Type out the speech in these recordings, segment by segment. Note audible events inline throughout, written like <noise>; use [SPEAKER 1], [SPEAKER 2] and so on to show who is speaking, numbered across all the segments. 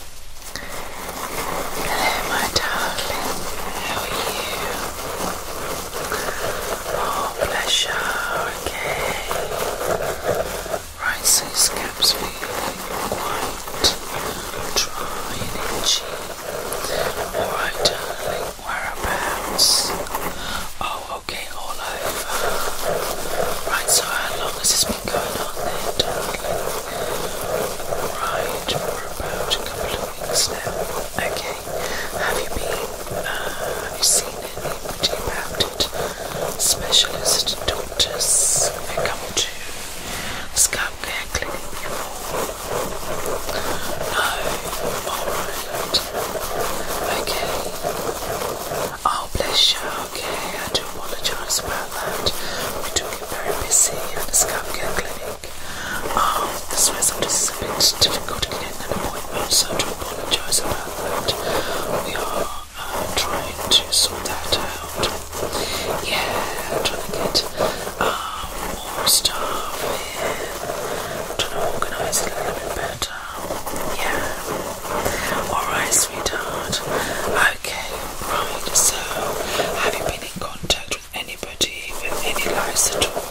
[SPEAKER 1] Hello my darling, how are you? Oh pleasure, okay. Right, so your scap's quite dry and itchy. Alright darling, whereabouts? Oh okay, all over. Right, so how long has this something going on there, darling. Right, we're about a couple of Okay, have you been, uh, have you seen anybody about it? Specialist doctors, they come to scalp care clinic before. No, alright. Okay. Oh, bless you. Okay, I do apologize about that. We're doing very busy and scalp care clinic. Um, this way sometimes a bit difficult to get an appointment, so I do apologize about that. We are um, trying to sort that out. Yeah, trying to get um, more stuff in, trying to organize it a little bit better. Yeah. Alright, sweetheart. I Okay, right, so have you been in contact with anybody with any lice at all?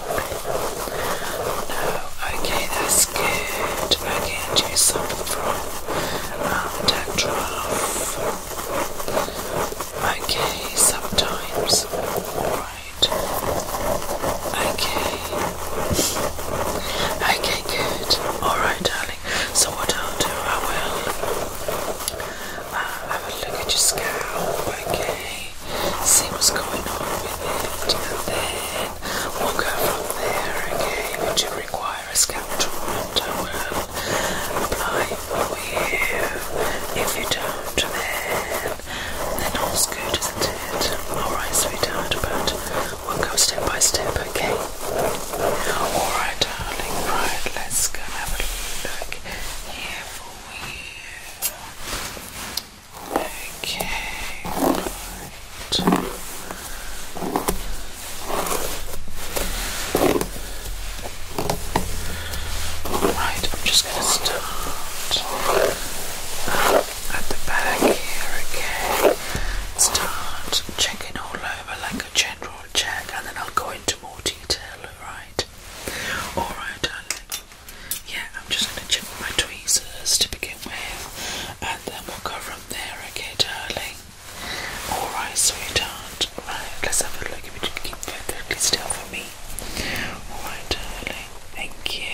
[SPEAKER 1] No, okay, that's good. Okay, and you suffer from um, dandruff. Okay, sometimes. Alright. Okay. Okay, good. Alright, darling. So what I'll do, I will, uh, have a look at your scalp, okay? See what's going on with it, and then we'll go from there, okay? Would you require a scalp treatment? I will apply for you. If you don't, then then all's good, isn't it? Alright, sweetheart, but we'll go step by step, okay? Alright, darling, right, let's go have a look here for you. Okay, right. Right, I'm just going to start uh, at the back here, okay? Start checking all over like a general check and then I'll go into more detail, alright? Alright, darling. Yeah, I'm just going to check my tweezers to begin with and then we'll go from there, okay, darling? Alright, sweetheart. Right, let's have a look if you can keep perfectly still for me. Alright, darling. Thank you.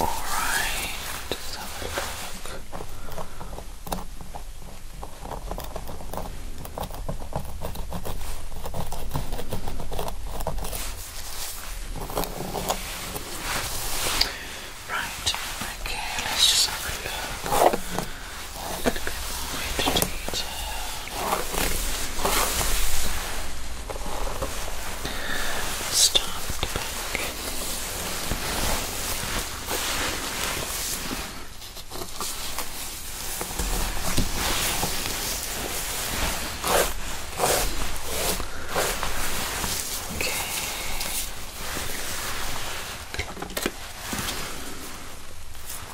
[SPEAKER 1] Alright, let's have a look. Right, okay, let's just have a look. Good point, teacher. Stop the back. Okay.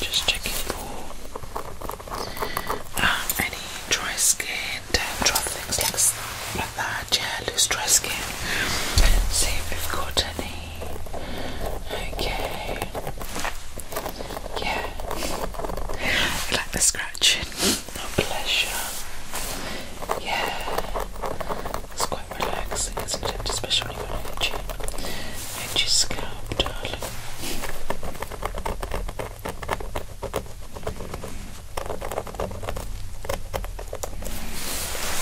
[SPEAKER 1] Just checking for um, any dry skin, damp, drop things like, that. Yeah, loose dry skin. See if we've got any. Okay. Yeah. like the scratching. No pleasure. Yeah. It's quite relaxing, isn't it? Especially when you're itchy. Itchy go, darling.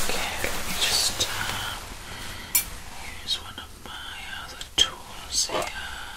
[SPEAKER 1] Okay, just uh, use one of my other tools here.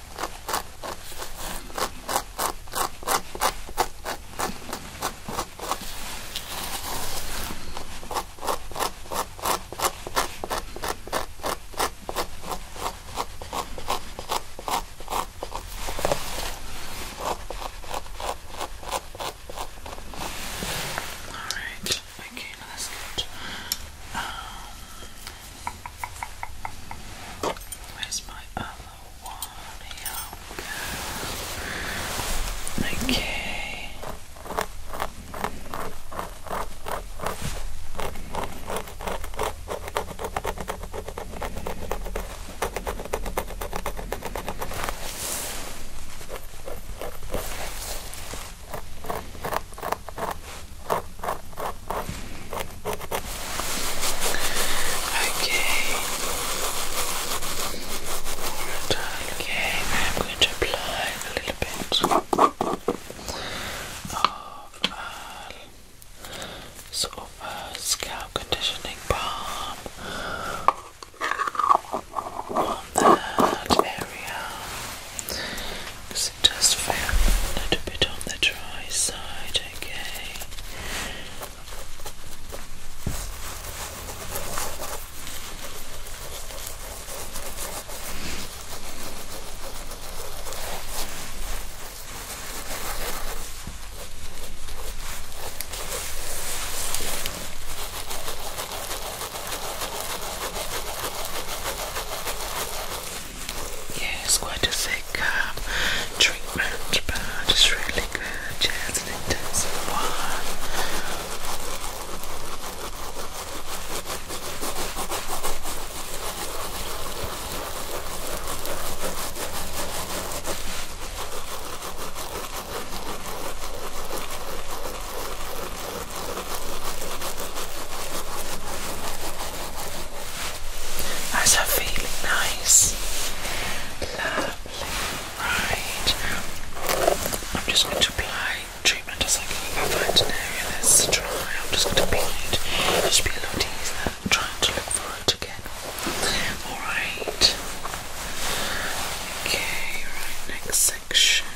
[SPEAKER 1] Alright, okay, now that's good. Um, Where's my other one? Okay. Okay, I'm going to apply a little bit of uh, sort uh, scalp conditioning balm on that area. Just it feel a little bit on the dry side, Okay, yeah, it's quite a thick um, treatment, but it's really good. Yeah, it's an intensive one. How's that feeling? Nice. Lovely. Right. I'm just going to apply treatment as I go. If I find an area that's dry, I'm just going to peel it. It'll just be a lot easier than trying to look for it again. Alright. Okay, right, next section. <laughs>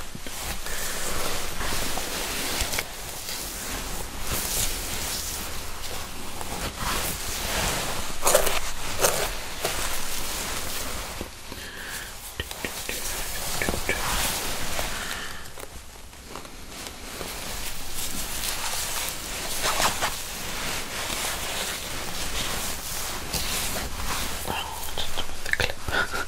[SPEAKER 1] Oh, just with the clip.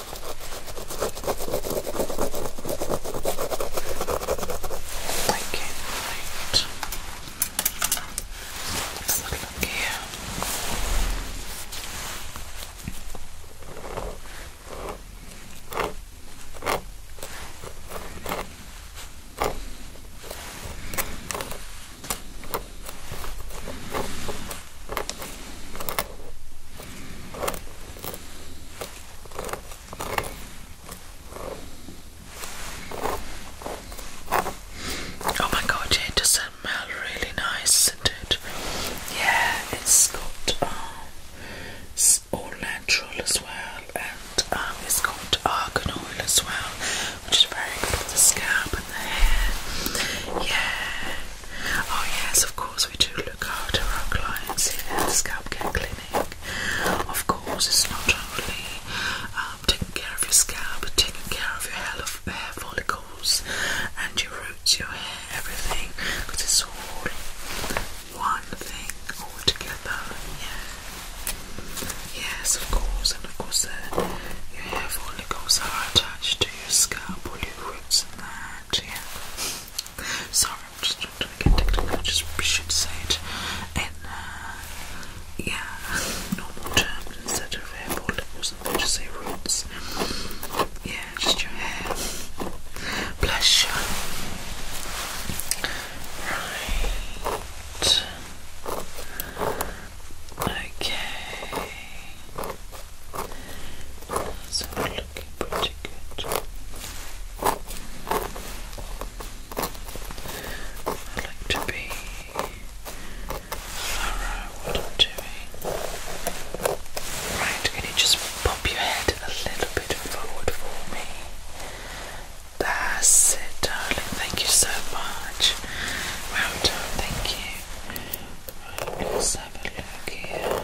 [SPEAKER 1] I can't wait. Let's look, look here. Oh my god, yeah, it does smell really nice, isn't it? Yeah, it's got um, all natural as well, and um, it's got argan oil as well, which is very good for the scalp and the hair. Yeah. Oh yes, of course we do look after our clients here Scalp Care Clinic. Of course, it's not only um, taking care of your scalp, but taking care of your hair, hair follicles and your roots, your hair, everything, because it's all one thing all together. Yeah. Yes, of course, and of course, uh, your hair follicles are attached to your scalp, all your roots, and that that, yeah. Sorry, I'm just trying to get technical, just should say it in, uh, yeah, normal terms instead of airport levels, i say roots. Yeah, just your hair. Bless you. Right. Okay. So looking pretty good. I like to be thorough can you just pop your head a little bit forward for me? That's it, darling. Thank you so much. Well done, thank you. let's have a look here.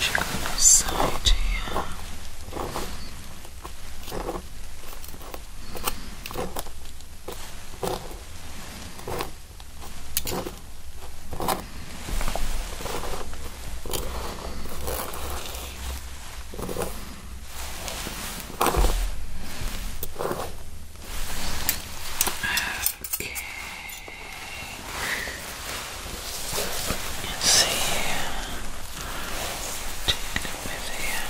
[SPEAKER 1] Check on this side here. Okay. Let's see here. Take a bit here.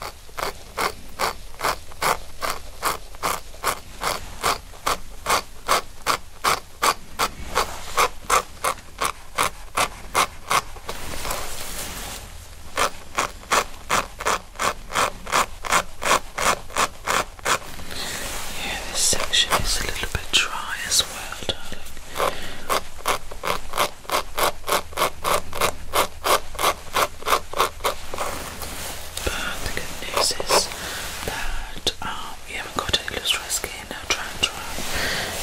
[SPEAKER 1] Okay. Yeah, this section is a little bit dry as well, darling. But the good news is that um, you haven't got any loose dry skin or dry and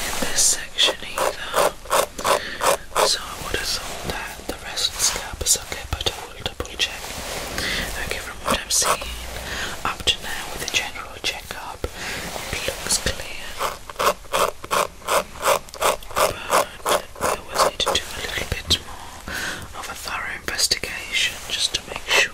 [SPEAKER 1] in this section either. So I would assume that the rest of the scalp is okay, but double check. Okay, from what I'm seeing up to now with the general checkup, it looks clear. But we will need to do a little bit more of a thorough investigation just to make sure.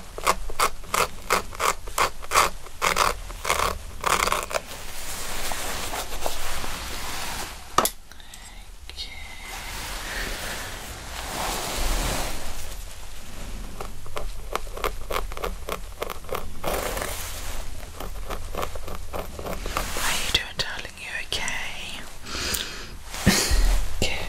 [SPEAKER 1] are you doing, darling? You okay? Good. <laughs>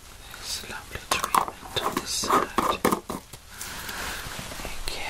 [SPEAKER 1] This lovely treatment on the side. Okay.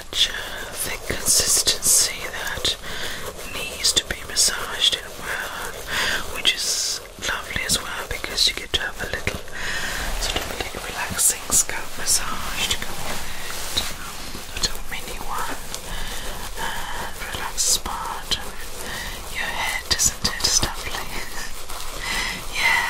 [SPEAKER 1] such thick consistency that needs to be massaged in well, which is lovely as well because you get to have a little sort of little relaxing scalp massage to go with it. A little mini one relax part of your head, isn't it? lovely. <laughs> yeah.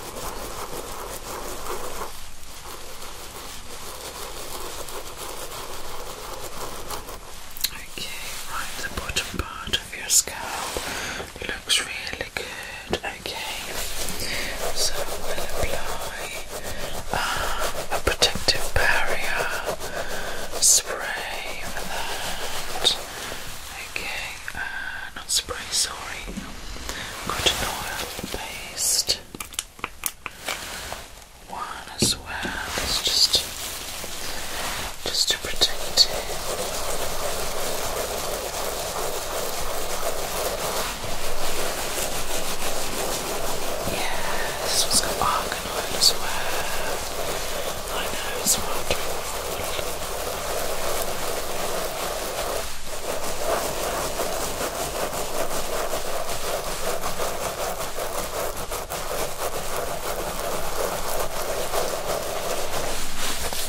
[SPEAKER 1] Okay, right, the bottom part of your scalp looks really good. Okay, so we'll apply uh, a protective barrier spray for that. Okay, spray, sorry. Got an oil paste. One as well. It's just just to protect it. Yeah, this one's got argan oil as well. I know it's wondering.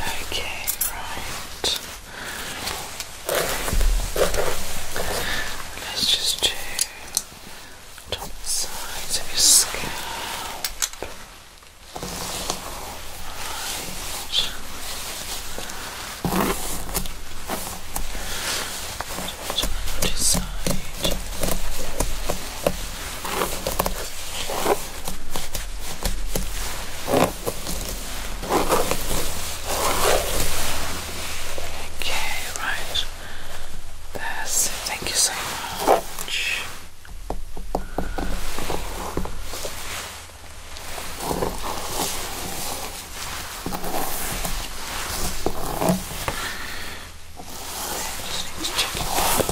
[SPEAKER 1] Okay, right. Let's just do top sides of your scalp. Okay, right. That's it. Thank you so much. Just checking quality.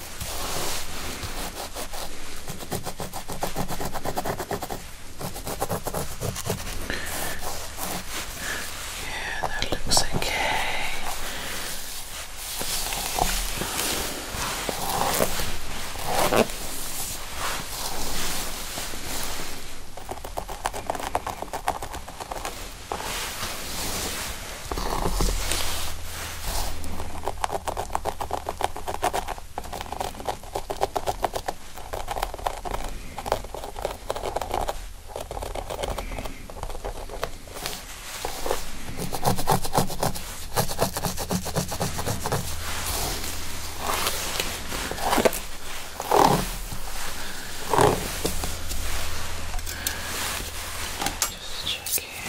[SPEAKER 1] Yeah, that looks okay. Just check here.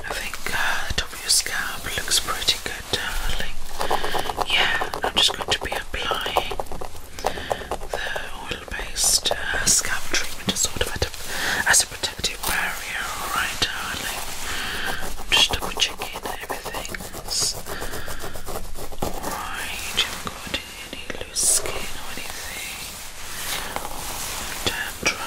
[SPEAKER 1] I think uh, the top of your scalp looks pretty good darling. Yeah, I'm just going to be applying the oil-based uh, scalp treatment as sort of as a protective barrier. Alright, darling. I'm just double checking everything's alright. You haven't got any loose skin or anything. Dandruff.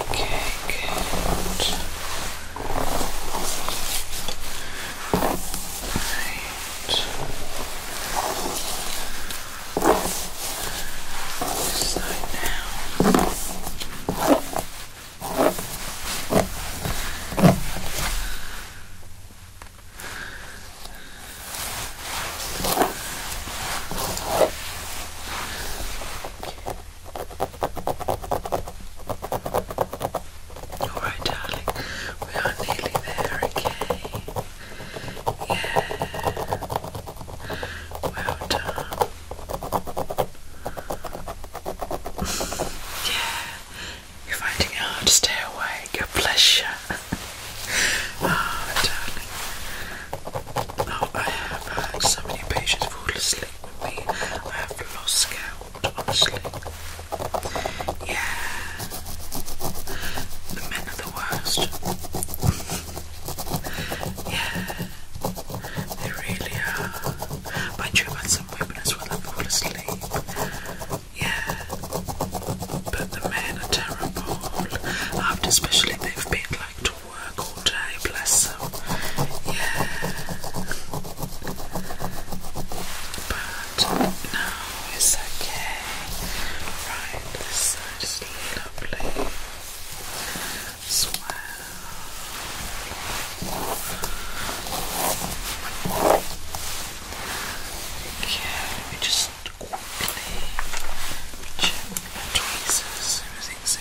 [SPEAKER 1] Okay, good. Right. This side now. Alright, darling, we are nearly there, okay? Yeah. Well done. <laughs> yeah. You're finding it to stay awake. Your pleasure. oh, <laughs> darling. Now I have had so many patients fall asleep with me. I have lost count, honestly. Yeah, the men are the worst. <laughs> yeah, they really are. But I drew about some women as well that fall asleep. Yeah, but the men are terrible. After especially they've been like of work all day, bless Yeah. But no, it's okay. Right, this is lovely well. Okay, let me just quickly check my tweezers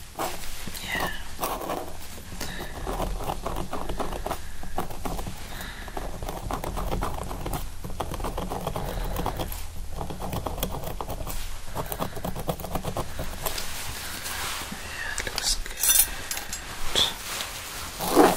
[SPEAKER 1] Yeah. Yeah, looks good. Wonderful.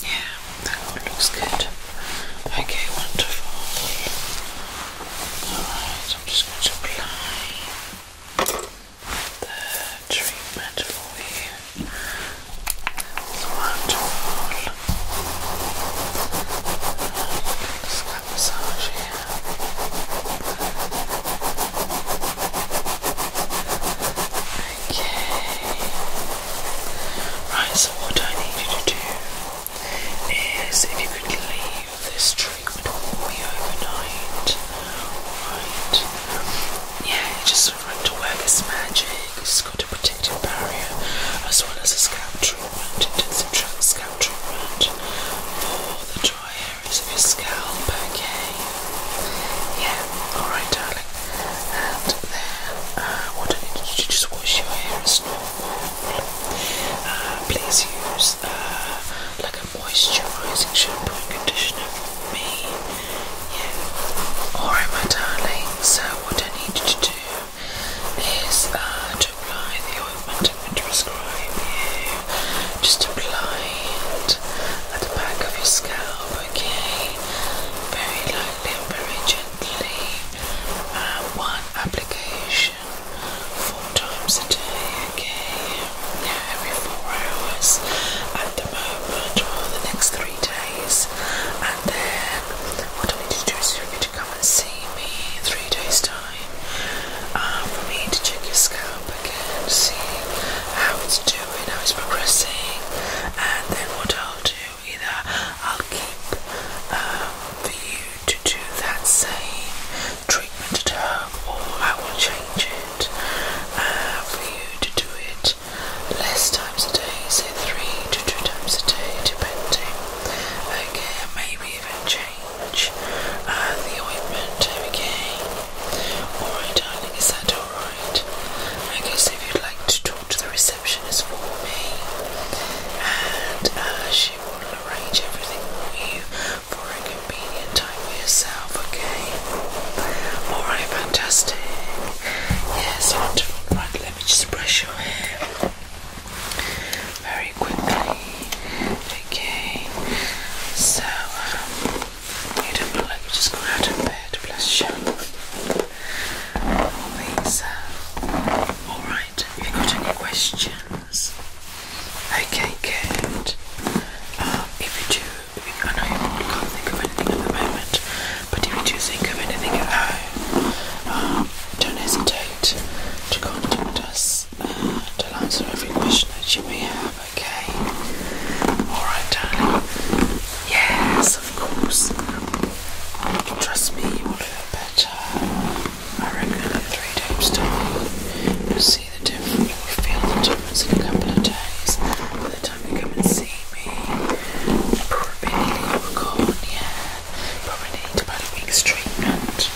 [SPEAKER 1] Yeah, that one looks good. Okay, wonderful. Alright, I'm just going to apply the treatment for you. It's wonderful. Just got massage here. Okay. Right, so what I need you to do is if you could leave this treatment for me overnight. Alright. Yeah, just want to wear this magic. It's got a protective barrier as well as a scalp treatment, intensive scalp treatment for the dry areas of your scalp, okay? Yeah, alright and then, uh, what I need to do, just wash your hair as normal. Uh, please use uh, like a moisturising shampoo and conditioner me. Yeah. Alright, my darling. So, what I need you to do is to apply the ointment I'm going you. Just apply it at the back of your scalp, okay? Very lightly tapping gently, uh, one application four times a day, okay? Yeah, every four hours at the moment for the next three days. And then what I need to do is for need to come and see me in three days' time uh, for me to check your scalp again, see how it's doing, how it's progressing, and then what I'll do either. I'll keep um, for you to do that same treatment to her, or I will change it uh, for you to do it less times a day, say three to two times a day, depending. Okay, maybe even change uh, the ointment. Okay, alright, darling, is that alright? I guess if you'd like to the receptionist for me, and uh, she will arrange everything for you for a convenient time for yourself. Okay. All right. Fantastic. Yes. Wonderful. Right. Let me just brush your hair very quickly. Okay. So um, you don't look like you just got out of bed. Bless you all these. Alright, have you got any questions? Okay, good. Um, if you do, if you, I know you can't think of anything at the moment, but if you do think of anything at home, um, don't hesitate to contact us and uh, to answer every question that you may have, okay? Alright, darling. Yes, of course. Trust me, you will feel better. I reckon in three days' time, you'll see the difference. You will feel the difference in a couple of days. By the time you come and see me, probably you were gone, yeah. Probably need about a week's treatment.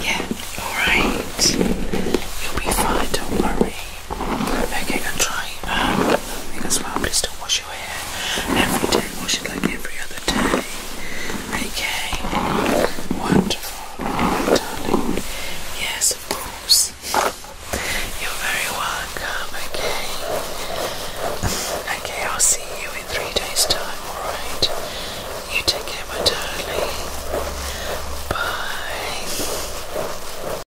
[SPEAKER 1] Yeah, alright. You'll be fine, don't worry. Okay, and try um, think as well. Please don't wash your hair every day. Wash it like every other day. Okay, wonderful, darling. Yes, of You're very welcome. Okay. Okay, I'll see you in three days' time. All right. You take care, my darling. Bye.